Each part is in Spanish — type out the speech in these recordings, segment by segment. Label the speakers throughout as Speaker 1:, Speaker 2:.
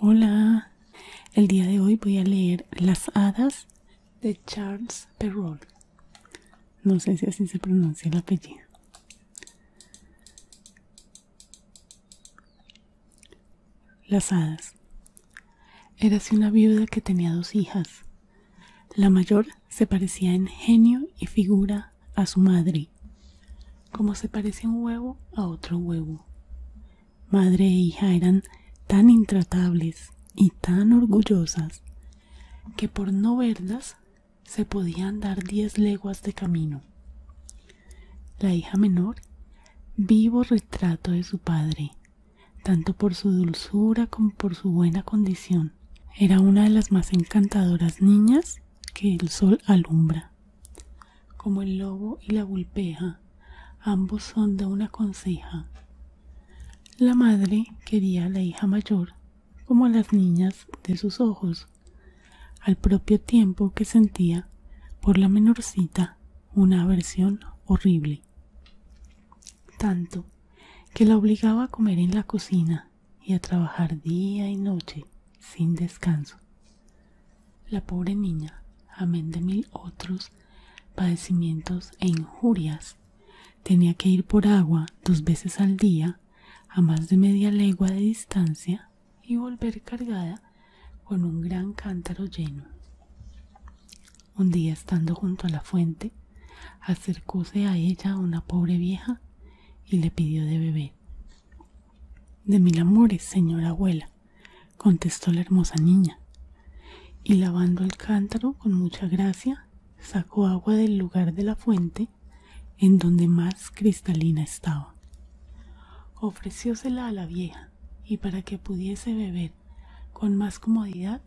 Speaker 1: Hola, el día de hoy voy a leer Las hadas de Charles Perrault. No sé si así se pronuncia el apellido. Las hadas. Érase una viuda que tenía dos hijas. La mayor se parecía en genio y figura a su madre, como se parece un huevo a otro huevo. Madre e hija eran tan intratables y tan orgullosas que por no verlas se podían dar diez leguas de camino. La hija menor, vivo retrato de su padre, tanto por su dulzura como por su buena condición, era una de las más encantadoras niñas que el sol alumbra. Como el lobo y la gulpeja ambos son de una conseja. La madre quería a la hija mayor como a las niñas de sus ojos, al propio tiempo que sentía por la menorcita una aversión horrible, tanto que la obligaba a comer en la cocina y a trabajar día y noche sin descanso. La pobre niña, amén de mil otros padecimientos e injurias, tenía que ir por agua dos veces al día a más de media legua de distancia y volver cargada con un gran cántaro lleno. Un día estando junto a la fuente, acercóse a ella una pobre vieja y le pidió de beber. De mil amores, señora abuela, contestó la hermosa niña, y lavando el cántaro con mucha gracia, sacó agua del lugar de la fuente en donde más cristalina estaba. Ofreciósela a la vieja, y para que pudiese beber con más comodidad,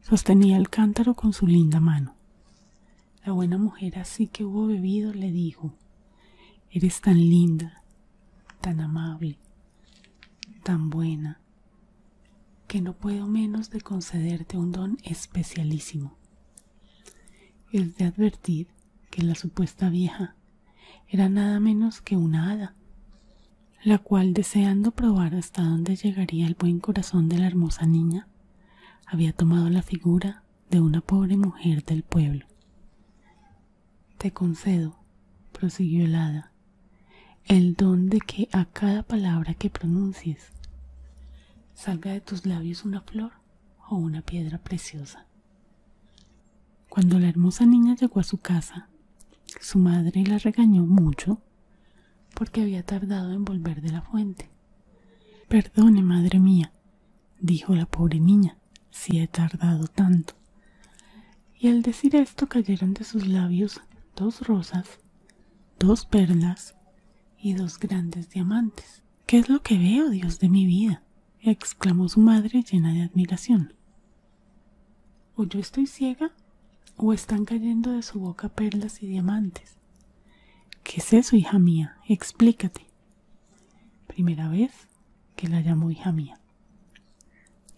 Speaker 1: sostenía el cántaro con su linda mano. La buena mujer así que hubo bebido le dijo, Eres tan linda, tan amable, tan buena, que no puedo menos de concederte un don especialísimo, es de advertir que la supuesta vieja era nada menos que una hada, la cual deseando probar hasta dónde llegaría el buen corazón de la hermosa niña, había tomado la figura de una pobre mujer del pueblo, te concedo, prosiguió el hada, el don de que a cada palabra que pronuncies salga de tus labios una flor o una piedra preciosa. Cuando la hermosa niña llegó a su casa, su madre la regañó mucho porque había tardado en volver de la fuente. Perdone, madre mía, dijo la pobre niña, si he tardado tanto. Y al decir esto cayeron de sus labios dos rosas, dos perlas y dos grandes diamantes. ¿Qué es lo que veo, Dios de mi vida? exclamó su madre llena de admiración. ¿O yo estoy ciega? ¿O están cayendo de su boca perlas y diamantes? ¿Qué es eso, hija mía? Explícate. Primera vez, que la llamó hija mía.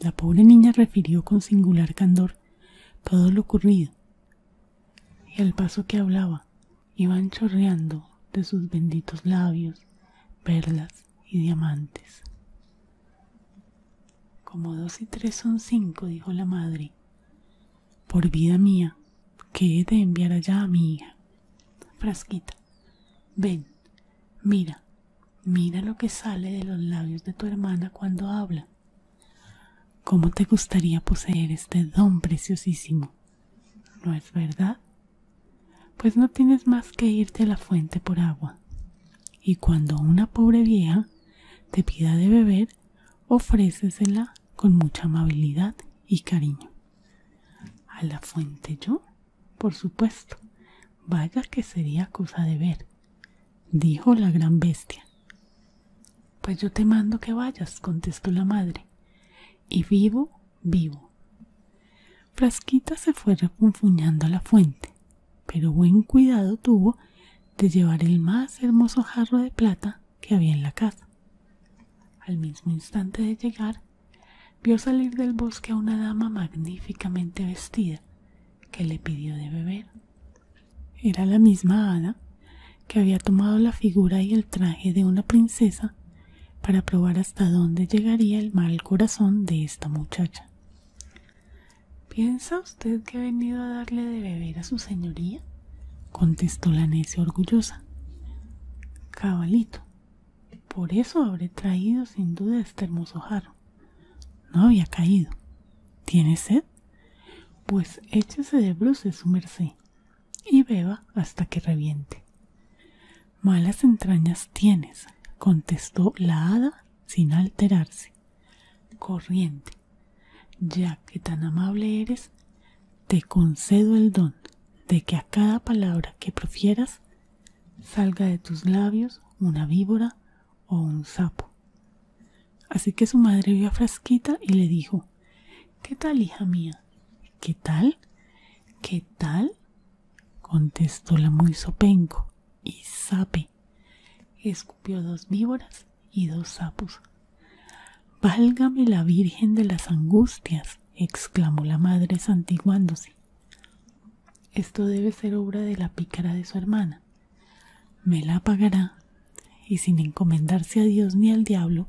Speaker 1: La pobre niña refirió con singular candor todo lo ocurrido, y al paso que hablaba iban chorreando de sus benditos labios perlas y diamantes. Como dos y tres son cinco, dijo la madre, por vida mía, que he de enviar allá a mi hija. Frasquita, ven, mira, mira lo que sale de los labios de tu hermana cuando habla. ¿Cómo te gustaría poseer este don preciosísimo? ¿No es verdad? Pues no tienes más que irte a la fuente por agua. Y cuando una pobre vieja te pida de beber, ofrécesela con mucha amabilidad y cariño a la fuente yo por supuesto vaya que sería cosa de ver dijo la gran bestia pues yo te mando que vayas contestó la madre y vivo vivo frasquita se fue refunfuñando a la fuente pero buen cuidado tuvo de llevar el más hermoso jarro de plata que había en la casa al mismo instante de llegar vio salir del bosque a una dama magníficamente vestida que le pidió de beber. Era la misma hada que había tomado la figura y el traje de una princesa para probar hasta dónde llegaría el mal corazón de esta muchacha. ¿Piensa usted que he venido a darle de beber a su señoría? contestó la necia orgullosa. Cabalito, por eso habré traído sin duda este hermoso jarro. No había caído. ¿Tiene sed? Pues échese de bruces su merced y beba hasta que reviente. Malas entrañas tienes, contestó la hada sin alterarse. Corriente, ya que tan amable eres, te concedo el don de que a cada palabra que profieras salga de tus labios una víbora o un sapo. Así que su madre vio a Frasquita y le dijo ¿Qué tal, hija mía? ¿Qué tal? ¿Qué tal? contestó la muy sopenco y sape. Escupió dos víboras y dos sapos. Válgame la Virgen de las Angustias, exclamó la madre santiguándose. Esto debe ser obra de la pícara de su hermana. Me la pagará. Y sin encomendarse a Dios ni al diablo,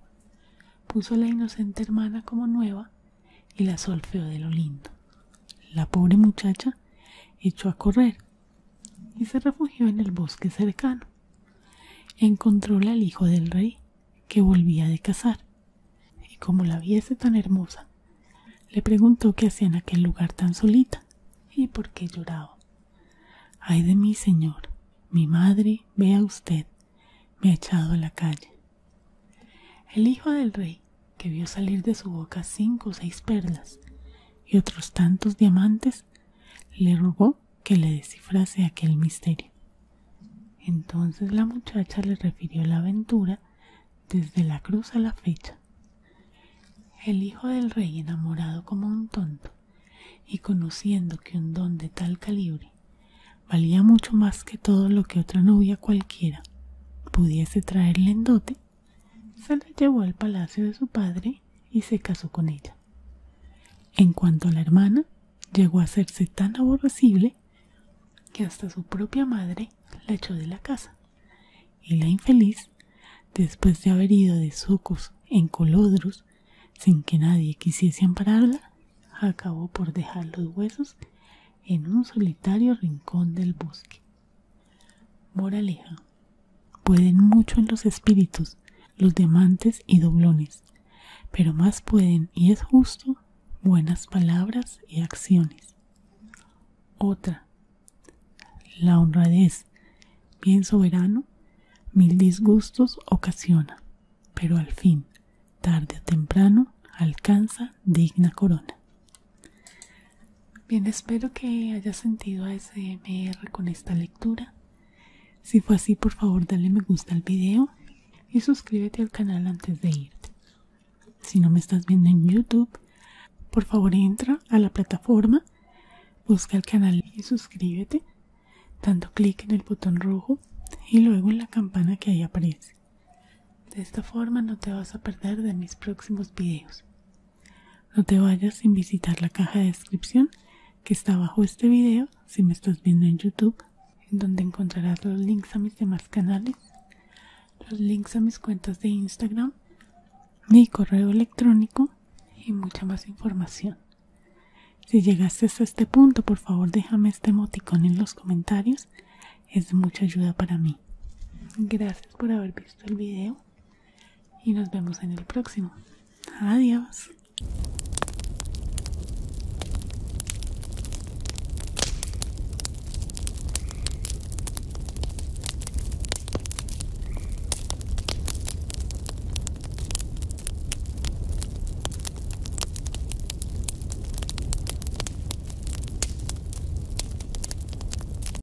Speaker 1: puso la inocente hermana como nueva y la solfeó de lo lindo. La pobre muchacha echó a correr y se refugió en el bosque cercano. Encontróla al hijo del rey, que volvía de casar, y como la viese tan hermosa, le preguntó qué hacía en aquel lugar tan solita y por qué lloraba. Ay de mí, señor, mi madre, vea usted, me ha echado a la calle. El hijo del rey, que vio salir de su boca cinco o seis perlas y otros tantos diamantes, le rogó que le descifrase aquel misterio. Entonces la muchacha le refirió la aventura desde la cruz a la fecha. El hijo del rey, enamorado como un tonto, y conociendo que un don de tal calibre valía mucho más que todo lo que otra novia cualquiera pudiese traerle en dote, se la llevó al palacio de su padre y se casó con ella. En cuanto a la hermana, llegó a hacerse tan aborrecible que hasta su propia madre la echó de la casa y la infeliz, después de haber ido de sucos en colodros sin que nadie quisiese ampararla, acabó por dejar los huesos en un solitario rincón del bosque. Moraleja Pueden mucho en los espíritus, los diamantes y doblones, pero más pueden, y es justo, buenas palabras y acciones. Otra. La honradez, bien soberano, mil disgustos ocasiona, pero al fin, tarde o temprano, alcanza digna corona. Bien, espero que haya sentido a S.M.R. con esta si fue así, por favor, dale me gusta al video y suscríbete al canal antes de irte. Si no me estás viendo en YouTube, por favor entra a la plataforma, busca el canal y suscríbete, dando clic en el botón rojo y luego en la campana que ahí aparece. De esta forma no te vas a perder de mis próximos videos. No te vayas sin visitar la caja de descripción que está bajo este video si me estás viendo en YouTube, en donde encontrarás los links a mis demás canales, los links a mis cuentas de Instagram, mi correo electrónico y mucha más información. Si llegaste hasta este punto, por favor déjame este emoticón en los comentarios, es de mucha ayuda para mí. Gracias por haber visto el video y nos vemos en el próximo. Adiós.